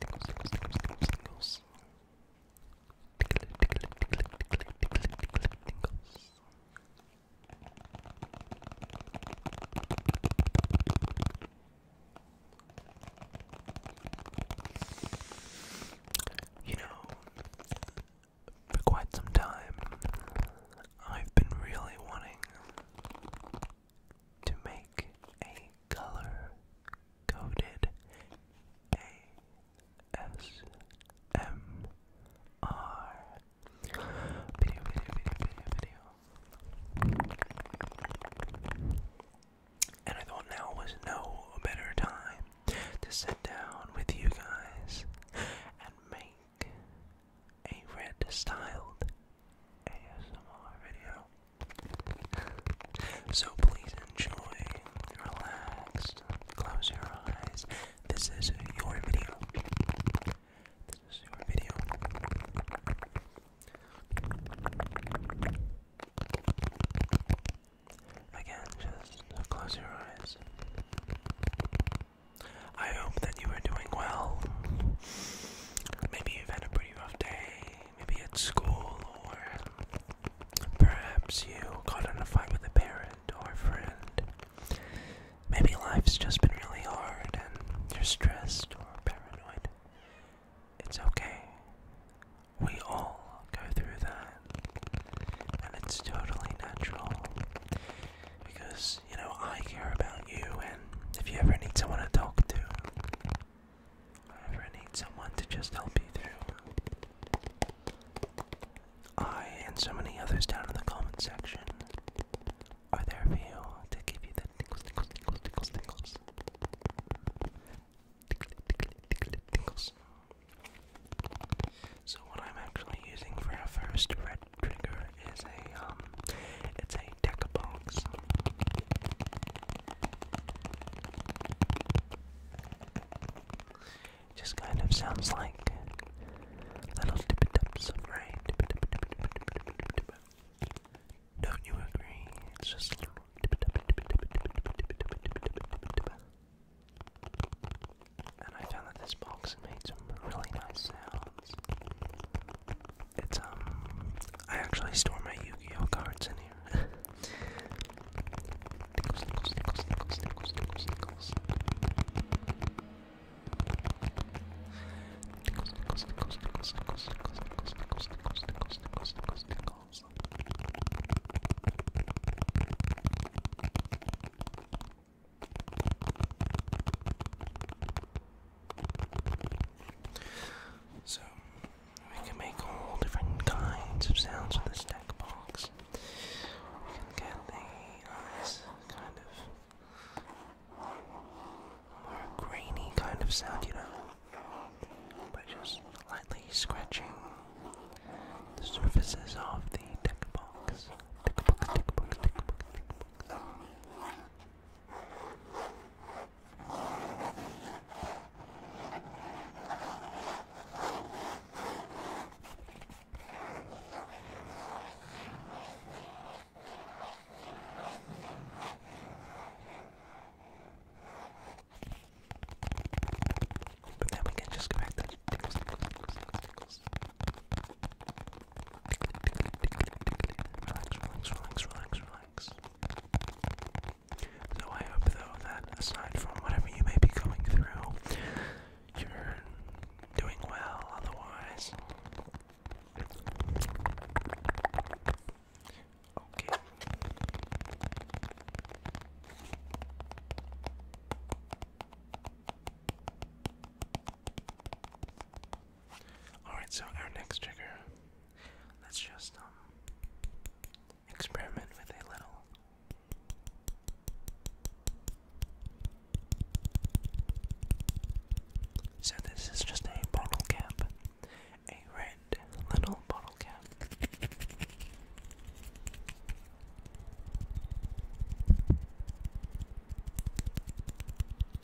Tingles. You know, for quite some time, I've been really wanting to make a color coded ASMR video, video, video, video, video. And I thought now was no better time to sit down with you guys and make a red styled ASMR video. so please enjoy, relax, close your eyes. This is your video. This is your video. Again, just close your eyes. I hope that you are doing well. Maybe you've had a pretty rough day, maybe at school, or perhaps you got in a fight with a parent or a friend. Maybe life's just been really hard and you're stressed or paranoid. It's okay. We all go through that. And it's totally natural. Because you know, I care about you, and if you ever need someone to talk to, I ever need someone to just help you through, I and so many others down in the comment section are there for you to give you the tickles, tickles, tickles, tickles, tickles. Tickle, tickle, tickle, So what I'm actually using for our first red trigger is a um it's a deck box. Just kind of sounds like little tippy tips of rain. Don't you agree? It's just and I found that this box made some really nice sounds. It's um I actually store my Yu-Gi-Oh cards in here. So, we can make all different kinds of sounds with this deck box. We can get the uh, kind of more grainy kind of sound, you know, by just lightly scratching the surfaces of the deck box. But then we can just go back to tickles, tickles, tickles, tickles. Relax, relax, relax, So I hope though that aside from whatever you may be going through, you're doing well otherwise. Okay. Alright, so our next trigger, let's just um, experiment with a little. So this is just a bottle cap, a red little bottle cap.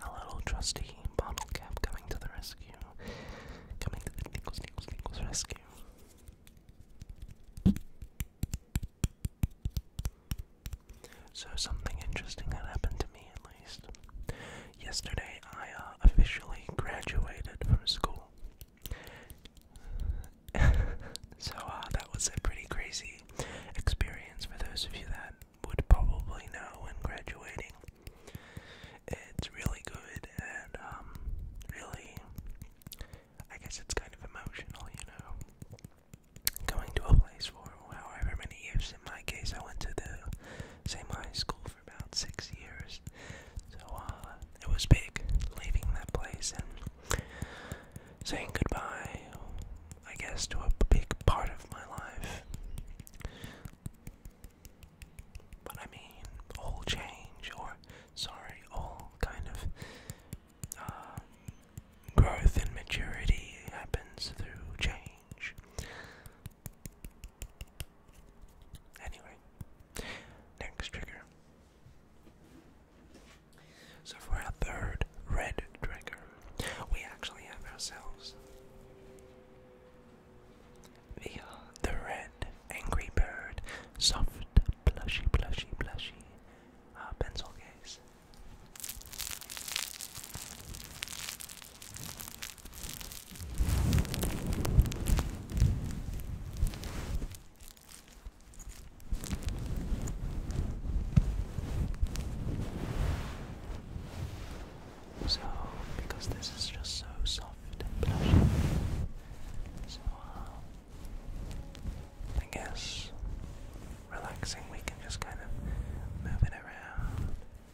Hello, trusty bottle cap coming to the rescue. Coming to the Nichols, Nichols, Nichols rescue. So, something interesting had happened to me at least. Yesterday, I uh, officially graduated from school. so uh, that was a pretty crazy experience for those of you that would probably know when graduating. It's really good and um, really, I guess it's kind of emotional, you know, going to a place for however many years. In my case, I went to the same high school for about six years. So uh, it was big leaving that place and saying goodbye, I guess, to a big part of my life. But I mean, all change, or sorry, all kind of uh, growth and maturity happens through change. Anyway, next trigger. So for our third red trigger, we actually have ourselves the uh, the red angry bird soft plushy plushy plushy uh, pencil so, because this is just so soft and plushy, uh, I guess relaxing, we can just kind of move it around.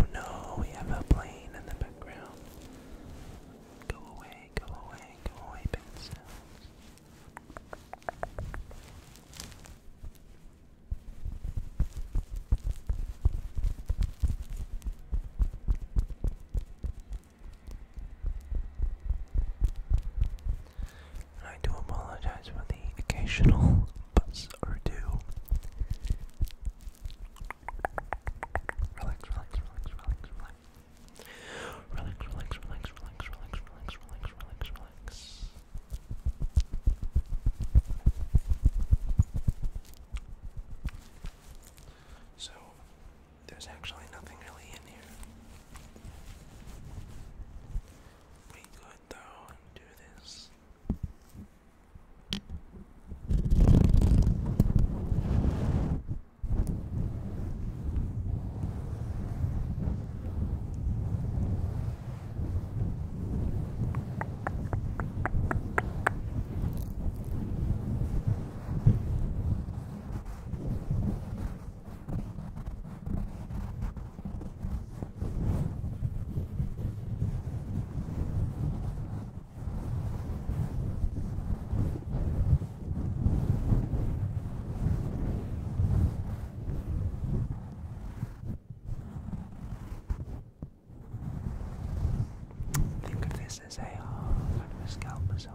Oh no, we have a plane in the background. Go away, go away, go away, big I do apologize for the occasional buzz or two. relax. Relax, relax, relax, relax, relax, relax, relax, relax, relax. So, there's actually nothing really in here. We could though do this. Think of this as a half uh, kind of a scalp massage.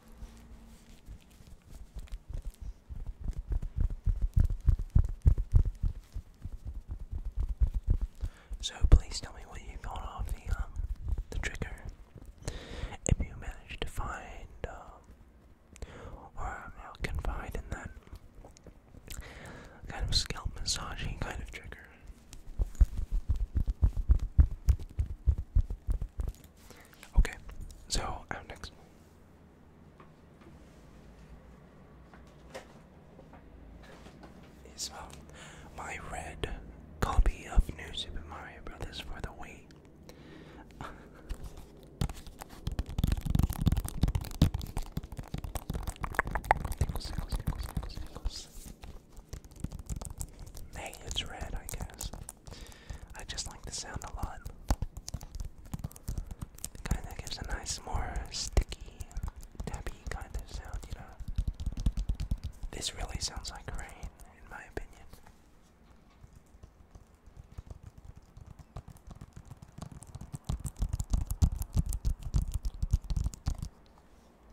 So please tell me what you thought of the um, the trigger. If you managed to find um or now confide in that kind of scalp massaging kind of trigger. Okay, so out uh, next. Is um, my red copy of New Super Mario Brothers for the Wii. Hey, it's red, I guess. I just like the sound a lot. Kinda gives a nice, more sticky, tappy kind of sound, you know? This really sounds like rain, in my opinion.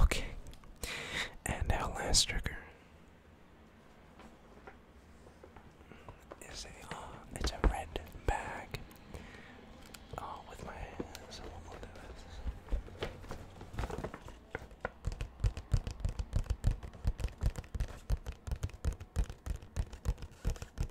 Okay. And our last trigger uh, it's a red bag. Oh, with my hands.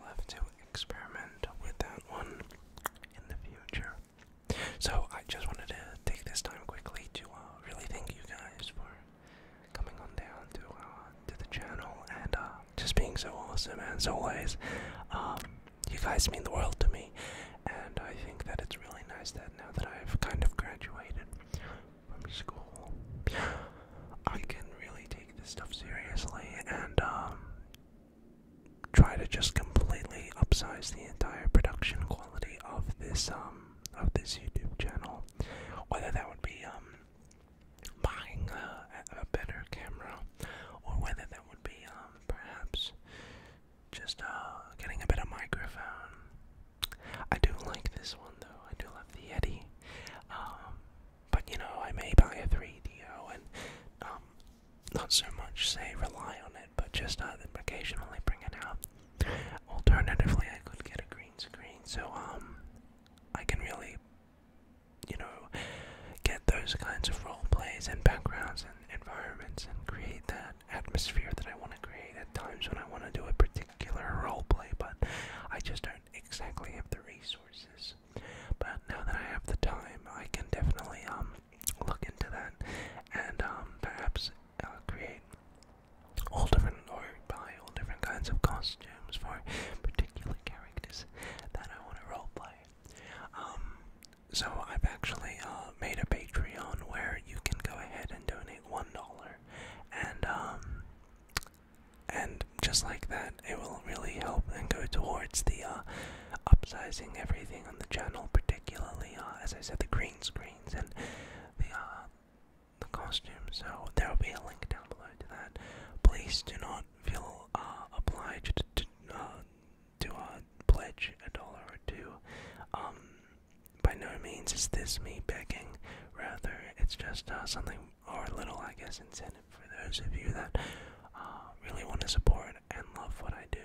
We'll have to experiment with that one in the future. So I just wanted to take this time quickly to uh, really thank you guys for coming on down to uh, to the channel and uh, just being so awesome as always. Um, you guys mean the world to me, and I think that it's really nice that now that I've kind of graduated from school, I can really take take this stuff seriously and um, try to just completely upsize the entire production quality of this um, of this YouTube channel. Whether that would be um buying a, better camera, or whether that would be um perhaps just uh getting a better microphone. I do like this one though. I do love the Yeti. Um, but you know, I may buy a 3DO and um, not so much say rely on it, but just uh, occasionally bring it out. Alternatively, I could get a green screen, so um, I can really, you know, get those kinds of role plays and backgrounds and environments and create that atmosphere that I want to create at times when I want to do a particular role play, but I just don't exactly have the resources but now that I have the time, I can definitely um, look into that and um, perhaps uh, create all different or buy all different kinds of costumes for particular characters that I want to role play. Um, so I've actually uh, made a Patreon where you can go ahead and donate one dollar, and and just like that, it will really help and go towards the uh, upsizing everything on the channel, particularly uh, as I said, the green screens and the uh, the costume. So there will be a link down below to that. Please do not feel uh, obliged to to pledge a dollar or two. Um, by no means is this me begging. Rather, it's just something or little, I guess, incentive for those of you that uh, really want to support and love what I do.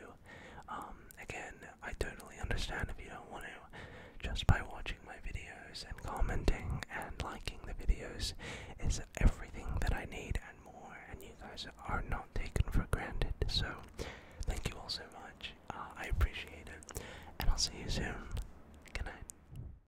Um, again, I totally understand if you don't want to. Just by watching my videos and commenting and liking the videos is everything that I need and more, and you guys are not taken for granted. So, thank you all so much. Uh, I appreciate it, and I'll see you soon. Good night.